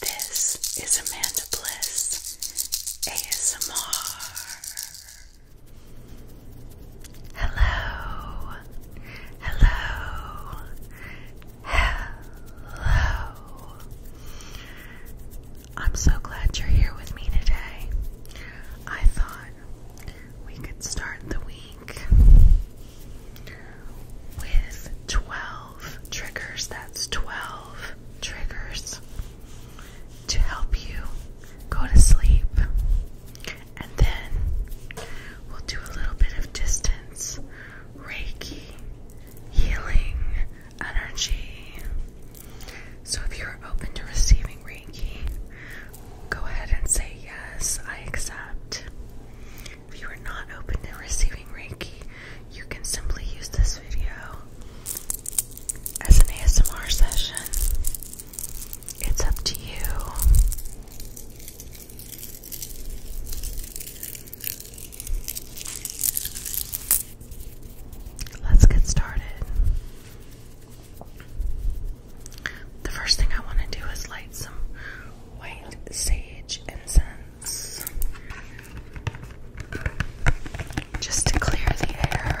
This is Amanda Bliss ASMR. Hello, hello, hello. I'm so glad you're here with me today. I thought we could start the week with 12 triggers. That's 12 triggers to help you go to sleep. And then we'll do a little bit of distance, Reiki, healing, energy. So if you're open to receiving Reiki, go ahead and say yes, I accept. If you are not open to receiving Reiki, you can simply use this video as an ASMR session. It's up to you. Let's get started. The first thing I want to do is light some white sage incense just to clear the air.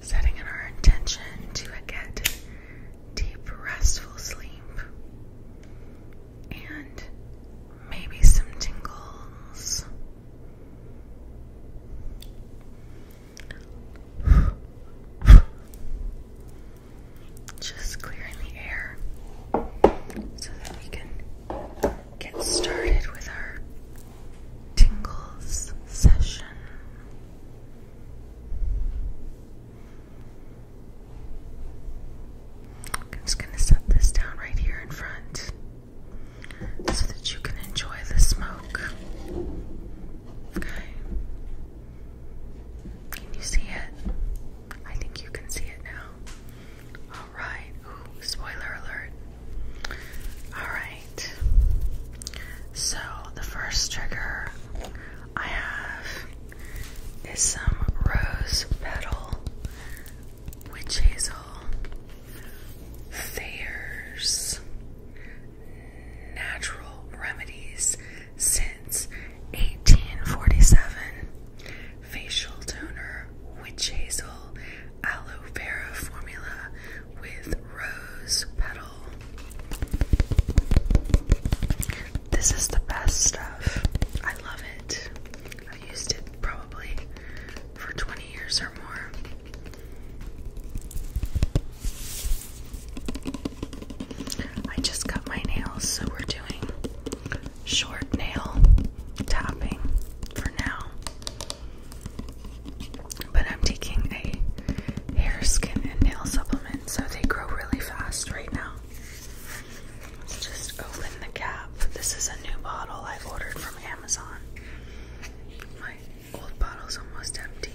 Setting in our intention to get deep, restful sleep and maybe some tingles. Just clearing the air so that we can get started with our tingles session. I'm just going to set this down right here in front so that you can enjoy the smoke. Okay. Can you see it? I think you can see it now. Alright. spoiler alert. Alright. So, the first trigger I have is some rose petal Witch Hazel, Thayer's Natural Remedies since 1847, facial toner, witch hazel, aloe vera formula with rose petal. This is the best stuff. I love it. I've used it probably for 20 years or more. I just cut my nails, so we're doing short nail tapping for now. But I'm taking a hair, skin, and nail supplement, so they grow really fast right now. Let's just open the cap. This is a new bottle i ordered from Amazon. My old bottle's almost empty.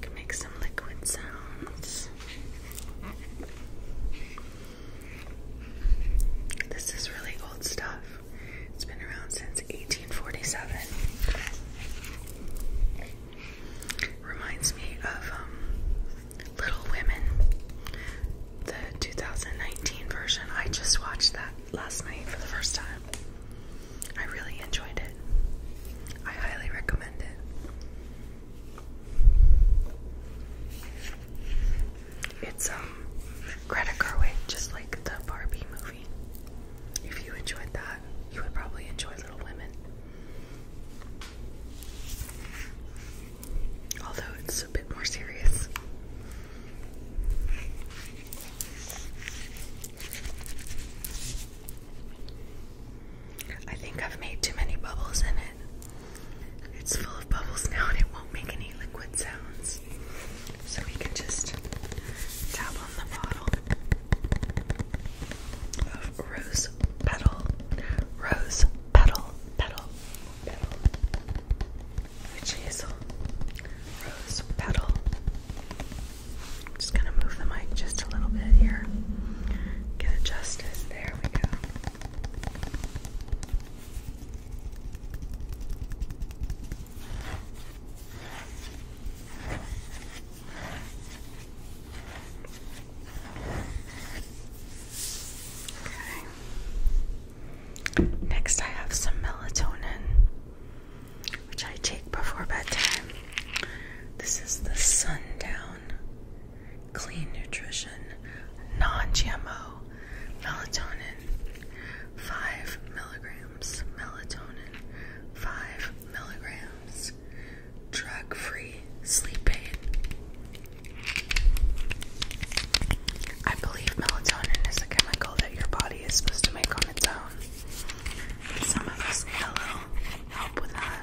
Can make some liquid sounds. This is really old stuff. It's been around since 1847. Reminds me of um, Little Women, the 2019 version. I just watched that last night for the first time. I really enjoyed it. I highly recommend it. It's um card way, just like the Barbie movie. If you enjoyed that, you would probably enjoy Little Women. Although it's a bit more serious. I think I've made too many bubbles in it. It's full bubbles now and it won't make any liquid sounds. So we can just tap on the bottle rose petal, rose petal, petal, petal, witch hazel, rose petal. I'm just gonna move the mic just a little bit here. Get it justice. There we go. Next, I have some melatonin, which I take before bedtime. This is the Sundown Clean Nutrition Non GMO melatonin 5 milligrams melatonin 5 milligrams drug-free sleep aid I believe melatonin is a chemical that your body is supposed to make on its own some of us need help with that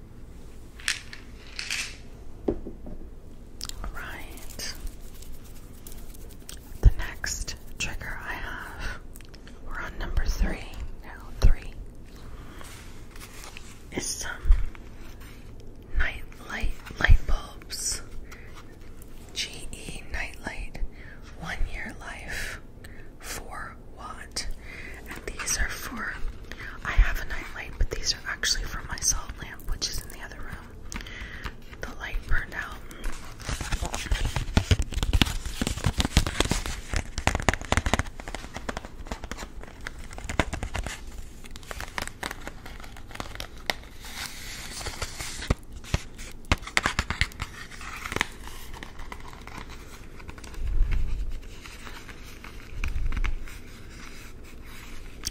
All right. The next trigger I have, we're on number three now, three, is some night light light bulbs. GE light, one year life, four watt, and these are for I have a night light, but these are actually from my salt lamp, which is in the other room. The light burned out.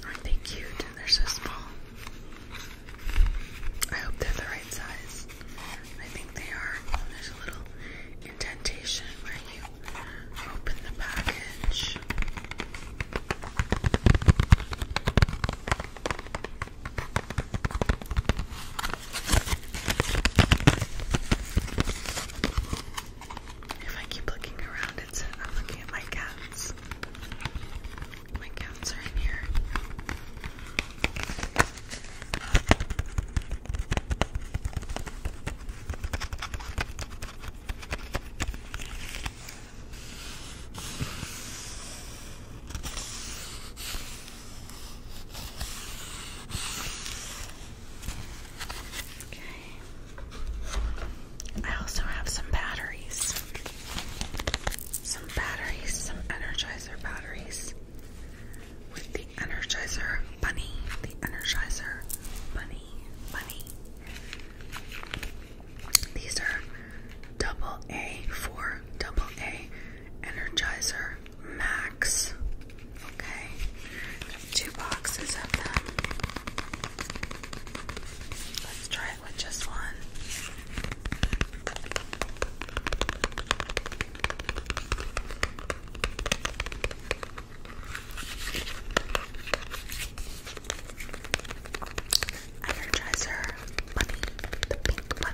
Aren't they cute? They're so small. I hope they're the right size. I think they are. There's a little indentation where you open the package. If I keep looking around, it's I'm looking at my cats. My cats are in here. Okay. I also have some batteries. Some batteries, some Energizer batteries with the Energizer Bunny. The Energizer Bunny. Bunny. These are double A for double A Energizer Max. Okay two boxes of them. Let's try it with just one. Energizer bunny, the pink bunny.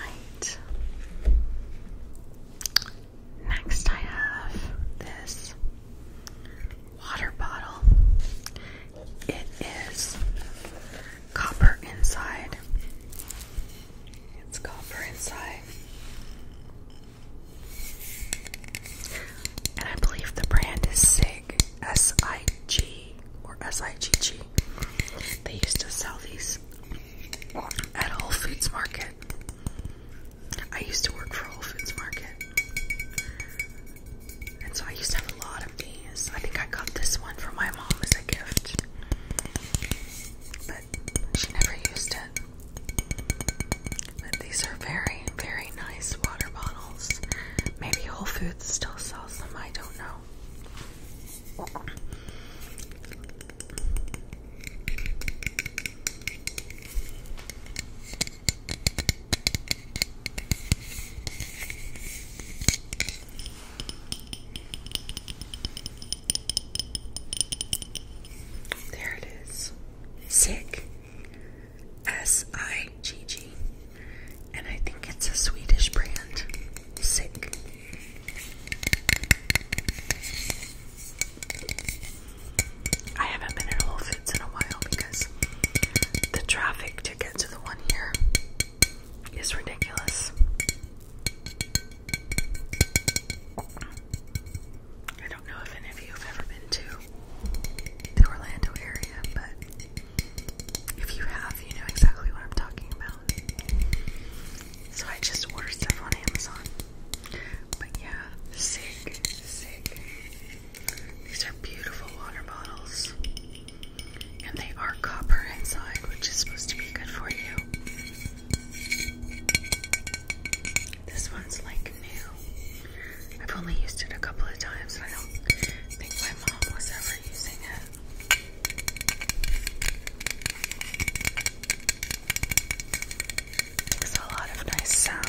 Right. Next, I have this water bottle. It is copper inside. It's copper inside. And I believe the brand is SIG, S I G or S I G G. They used to sell these at Whole Foods Market. I used to work for Whole Foods Market. And so I used to have a lot of these. I think I got this one for my mom as a gift. But she never used it. But these are very, very nice water bottles. Maybe Whole Foods still sells them, I don't know. There it is. Sick. S I G G. And I think it's a Swedish brand. Sick. I haven't been at Whole Foods in a while because the traffic to get to the one here is ridiculous. I don't know if any of you have ever been to the Orlando area, but if you have, you know exactly what I'm talking about. So I just ordered stuff on Amazon. But yeah, sick, sick. These are beautiful water bottles. And they are copper inside, which is supposed to be good for you. This one's like new. I've only used it a couple of times, and I don't think my mom was ever using it. There's a lot of nice sounds.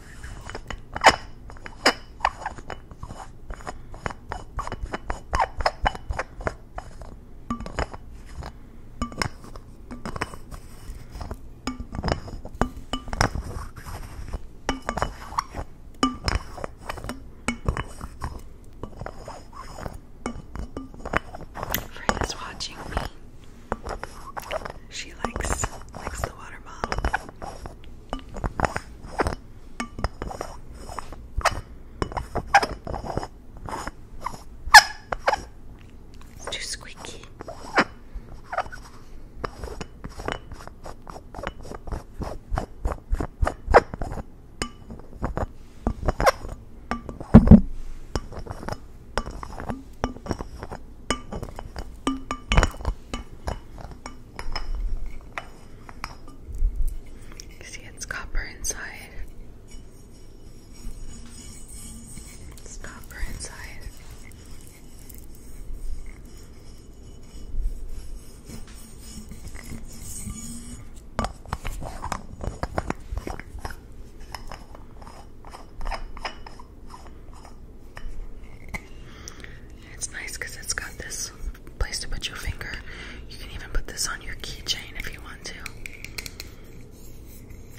Fred watching me. She likes likes the watermelon. It's too squeaky see, it's copper inside. It's copper inside. It's nice because it's got this place to put your finger. You can even put this on your keychain if you want to.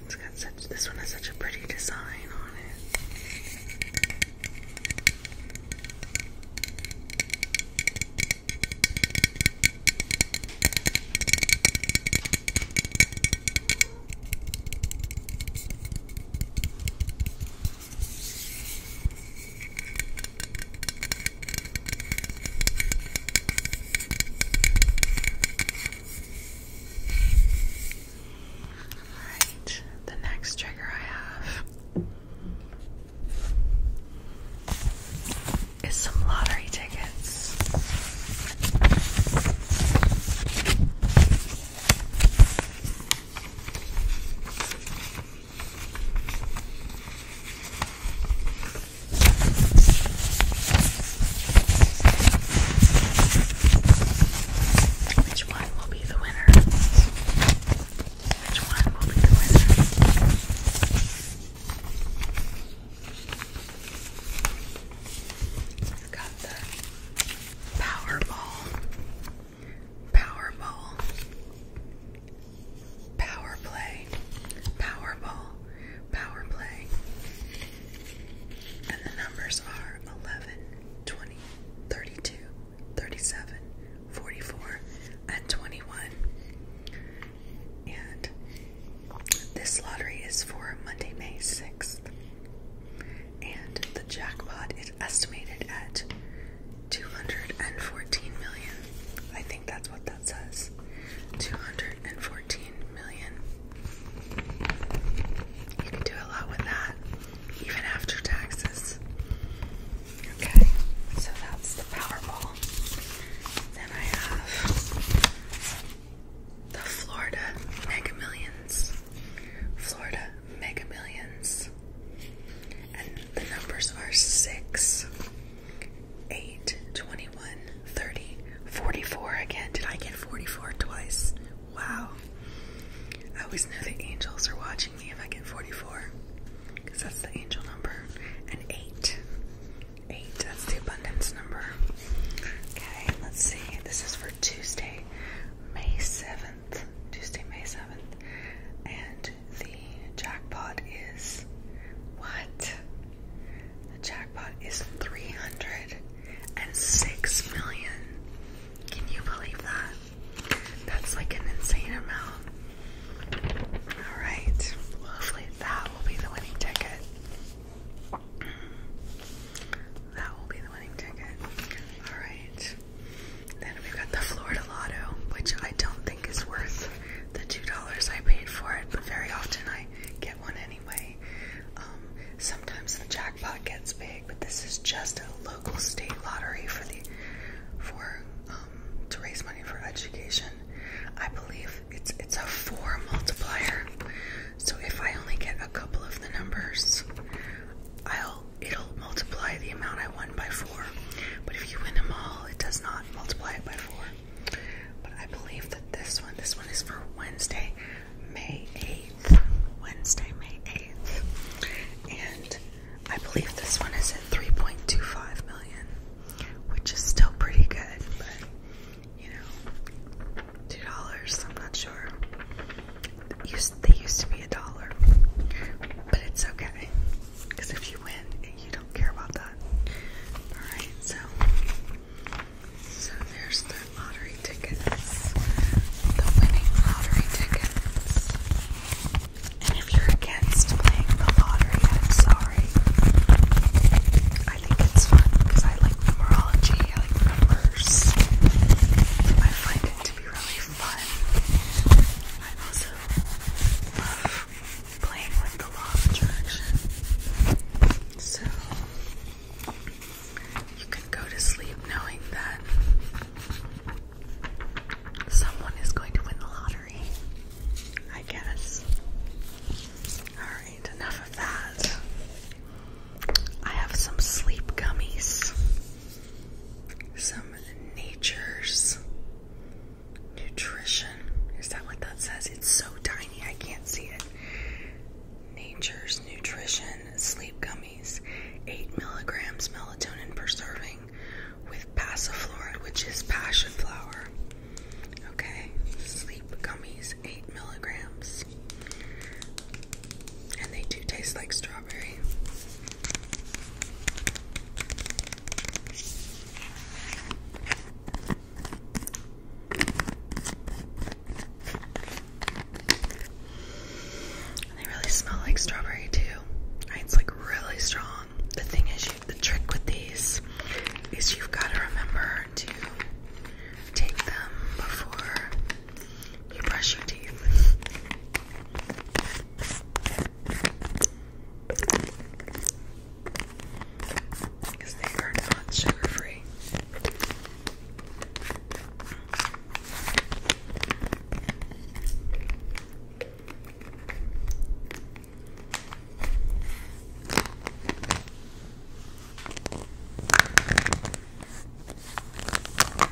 It's got such this one has such a pretty design on it. Alright, the next trigger I have is some lottery tickets. Which one will be the winner? Which one will be the winner? i got the Powerball. Powerball, Power Play, Powerball, Power Play. And the numbers are 11, 20, 32, 37, 44, and 21. And this lottery is for Monday, May 6th and the jackpot is estimated at 214 million. I think that's what that says. 214 million. You can do a lot with that, even after taxes. Okay, so that's the Powerball. Then I have the Florida Mega Millions. Florida Mega And the numbers are 6, 8, 21, 30, 44 again. Did I get 44 twice? Wow. I always know the angels are watching me if I get 44. Because that's the angel number. And 8. 8, that's the abundance number. Okay, let's see. This is for Tuesday, May 7th. Tuesday, May 7th, and the jackpot is what? The jackpot is 306 million. Can you believe that? That's like an insane amount. Alright, hopefully that will be the winning ticket. That will be the winning ticket. Alright. Then we got the Florida Lotto, which I don't think is worth the $2 I paid for it, but very often I get one anyway. Um, sometimes the jackpot gets big, but this is just a local state lottery for the for um, to raise money for education. I believe it's it's a four multiplier. So if I only get a couple of the numbers, I'll it'll multiply the amount I won by four. But if you win them all, it does not multiply it by four. But I believe that this one, this one is for Wednesday, May 8th. Wednesday, May 8th. And I believe this one is at 3.25 million, which is still pretty good, but you know, $2, I'm not sure they used to be a dollar, but it's okay because if you win, you don't care about that. All right, so so there's the lottery tickets, the winning lottery tickets. And if you're against playing the lottery, I'm sorry. I think it's fun because I like numerology, I like numbers. I find it to be really but I also love playing with the law of attraction. So you can go to sleep knowing that someone is going to win the lottery. I guess. Alright, enough of that. I have some sleep gummies some nature's nutrition. Is that what that says? It's so tiny, I can't see it. Nature's nutrition sleep gummies, 8 milligrams melatonin per serving with passiflora, which is passion flower. Okay, sleep gummies, 8 milligrams. And they do taste like strawberry. they really smell like strawberry too. It's like really strong. The thing is, you, the trick with these is you've got to remember to take them before you brush your teeth. Because they are not sugar free.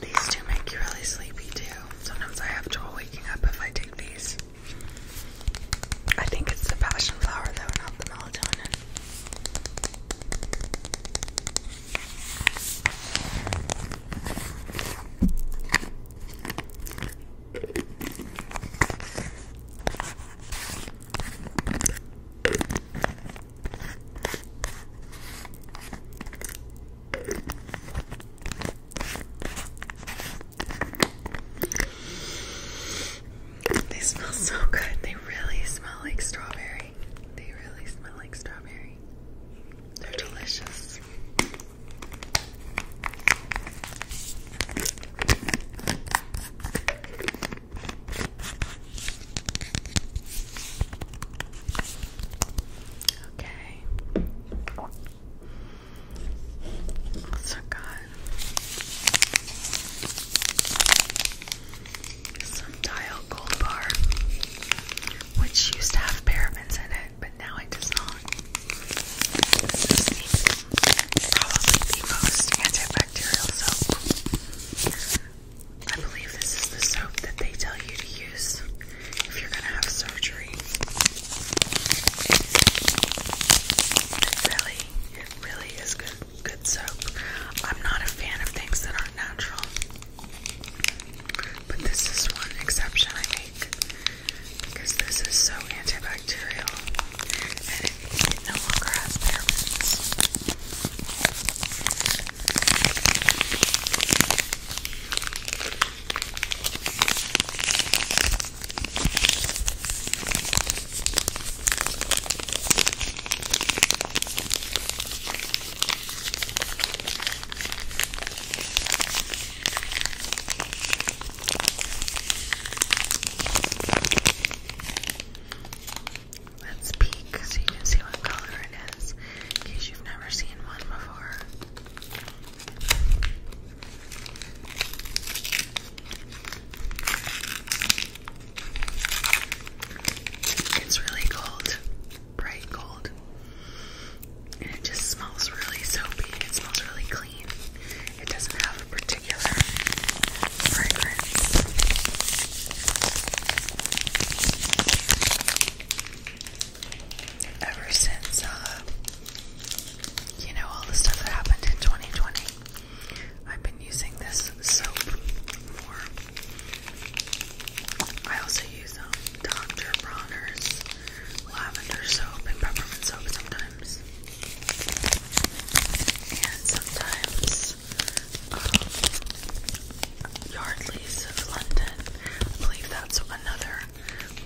These two make you really sleepy too. Sometimes I have trouble waking up if I take these. I think it's the passion flower though, not the melatonin. They smell so good. They really smell like strawberry. They really smell like strawberry. They're delicious. Okay. What's got? Some dial gold bar, which used to have parabens in it, but now it does not. probably the most antibacterial soap I believe this is the soap that they tell you to use if you're gonna have surgery. It really, it really is good good soap. I'm not a fan of things that aren't natural. But this is one exception I make because this is so antibacterial and it no longer has parabens. Let's peek so you can see what color it is in case you've never seen one before. It's really gold, bright gold, and it just smells really soapy. It smells really clean. It doesn't have a particular fragrance ever since, uh, you know, all the stuff that happened in 2020, I've been using this soap more. I also use um, Dr. Bronner's lavender soap and peppermint soap sometimes. And sometimes um, Yardley's of London. I believe that's another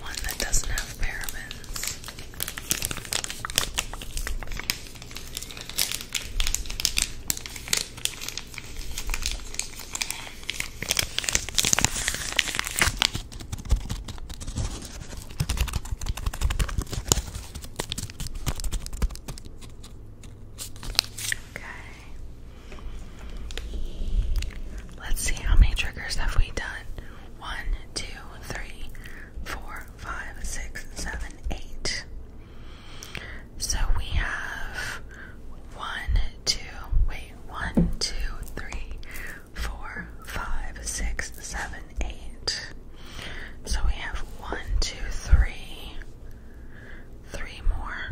one that doesn't have parabens. Okay. Let's see how many triggers have we done. One, two, three, four, five, six, seven, eight. So we have one, two, wait, one, two, three, four, five, six, seven, eight. So we have one, two, three, three more.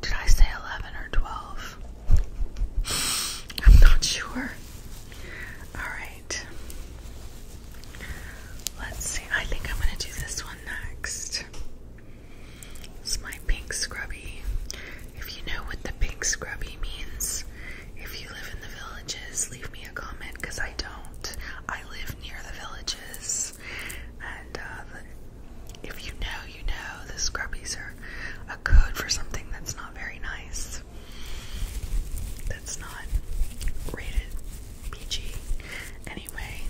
Did I say 11 or 12? I'm not sure. Alright. Let's see. I think I'm going to do this one next. It's my pink scrubby. If you know what the pink scrubby means, if you live in the villages, leave me a comment because I don't. I live near the villages, and uh, if you know, you know the scrubbies are a code for something that's not very nice. That's not rated PG. Anyway,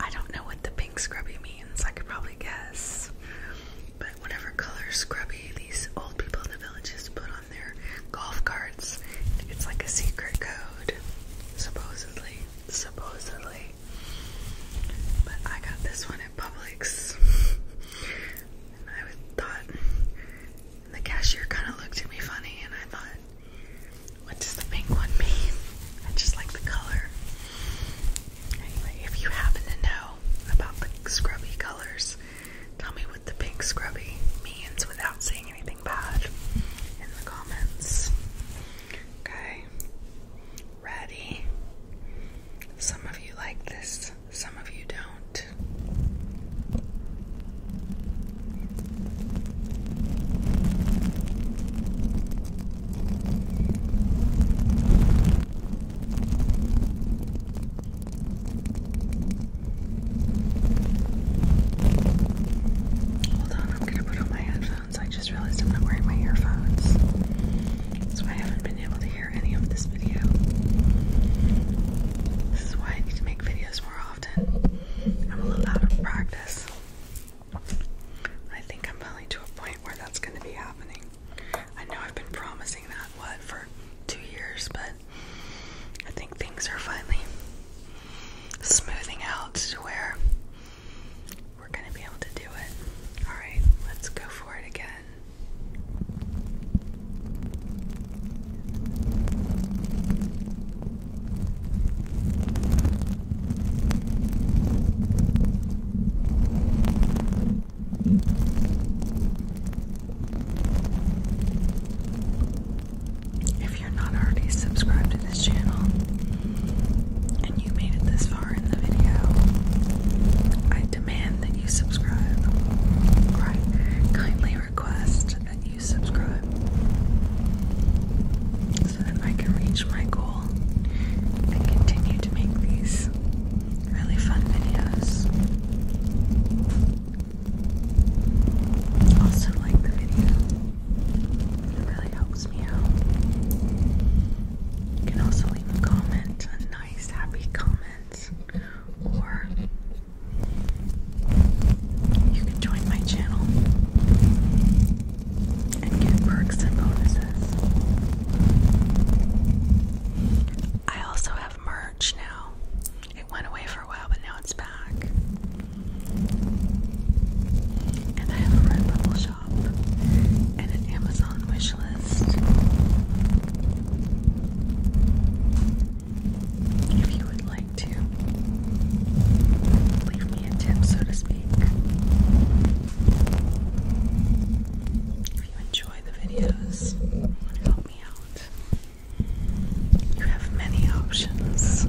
I don't know what the pink scrubby means. I could probably guess. But whatever color scrubby these old people in the villages put on their golf carts, it's like a secret code. Supposedly. Supposedly. But I got this one at Publix. and I thought the cashier kind of looked at me funny, and I thought, what does the pink one mean? I just like the color. Anyway, if you happen to know about the scrubby colors, tell me what the pink scrubby means without saying anything bad in the comments. Okay. Ready? Some of you like this, some of you don't. Hold on, I'm going to put on my headphones headphones. I just realized I'm not wearing my earphones. So I haven't been able to hear any of this video. This is why I need to make videos more often. I'm a little out of practice. I think I'm finally to a point where that's going to be happening. I know I've been promising that, what, for two years, but I think things are finally smoothing out to where we're going to be able to do it. All right, let's go for it again. If you're not already subscribed this channel and you made it this far in the video, I demand that you subscribe. I kindly request that you subscribe so that I can reach my goal and continue to make these really fun videos. Also, like the video, it really helps me out. You can also leave a comment, a nice, happy comment, or you can join my channel and get perks and bonuses. I also have merch now. It went away for a while, but now it's back. And I have a Redbubble shop and an Amazon wish list. If you would like to leave me a tip, so to speak. If you enjoy the videos, help me out. You have many options.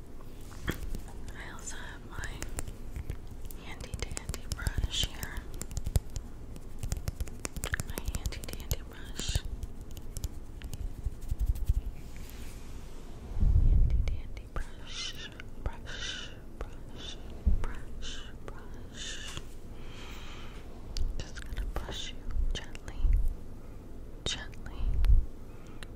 I also have my handy dandy brush here. My handy dandy brush. Handy dandy brush, brush, brush, brush, brush. Just gonna brush you gently, gently,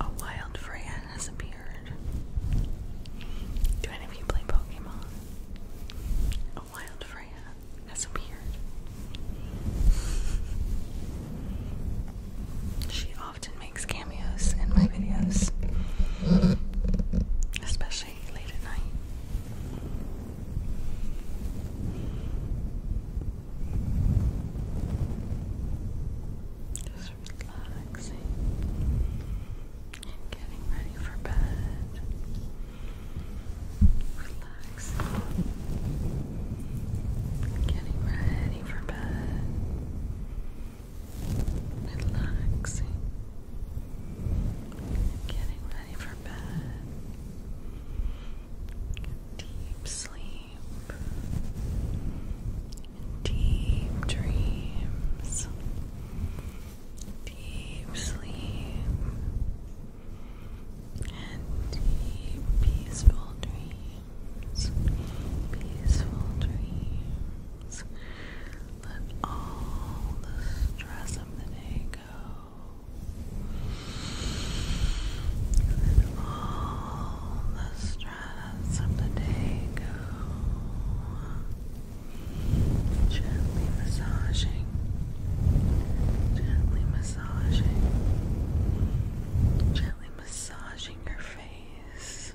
A wild Freya has appeared. Do any of you play Pokemon? A wild Freya has appeared. She often makes cameos in my videos, especially late at night. Just relaxing, getting ready for bed. Relaxing, getting ready for bed relaxing, getting ready for bed, deep sleep, deep dreams, deep sleep, and deep peaceful dreams, peaceful dreams relax. Let all the stress of the day go. Let all the stress of the day go. Gently massaging. Gently massaging. Gently massaging your face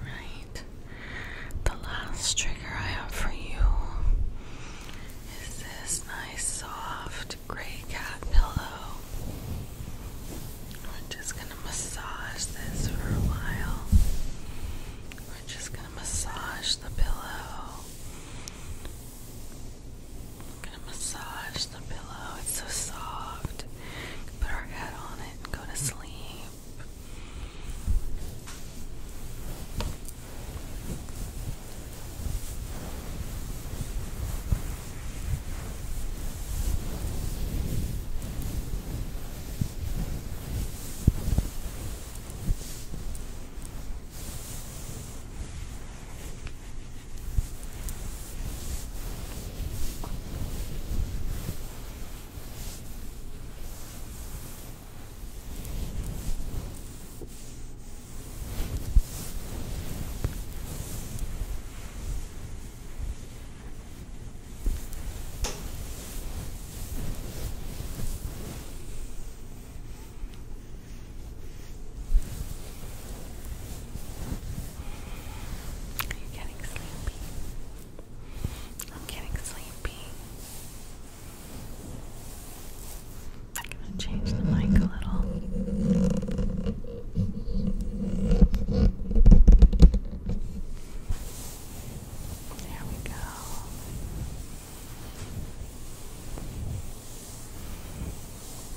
Right. The last trigger I have for you is this nice soft gray cat pillow. We're just going to massage this for a while. We're just going to massage the pillow. going to massage the pillow. It's so soft put our head on it and go to sleep. Are you getting sleepy? I'm getting sleepy. I'm gonna change the mic a little. There we go.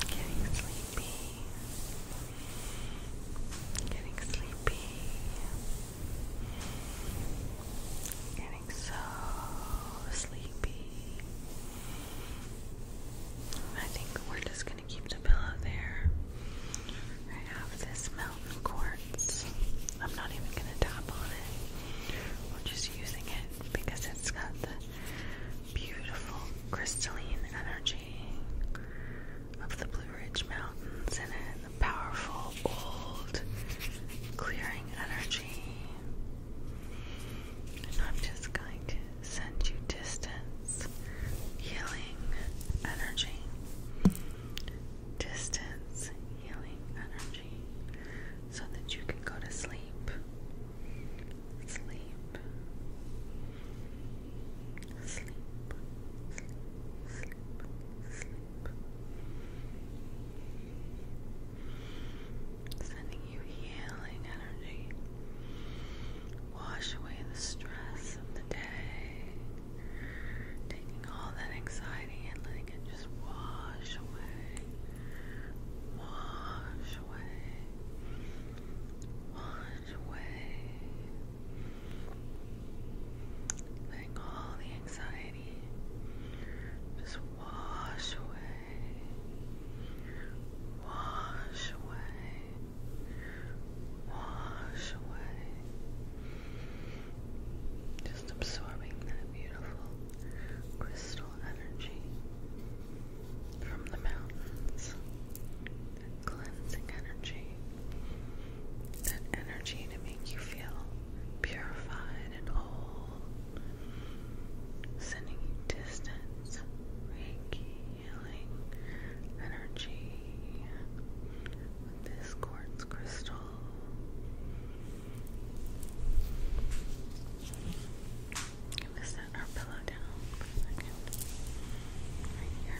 Getting sleepy. Getting sleepy. Getting so sleepy. I think we're just gonna keep the pillow there. I have this mountain quartz. I'm not even gonna tap on it. We're just using it because it's got the beautiful crystalline energy of the Blue Ridge Mountains in the powerful old clearing energy. I'm just going to send you distance healing energy. Distance healing energy so that you can go to sleep. Sleep sleep, sleep, sleep. Sending you healing energy. Wash away the stress of the day. Taking all that anxiety and letting it just wash away. Wash away. Wash away. Letting all the anxiety just wash away, wash away, wash away. Just absorbing that beautiful crystal energy from the mountains cleansing energy, that energy to make you feel purified and whole, sending you distance, reiki, healing energy this quartz crystal. Can we set our pillow down for a second? Right here.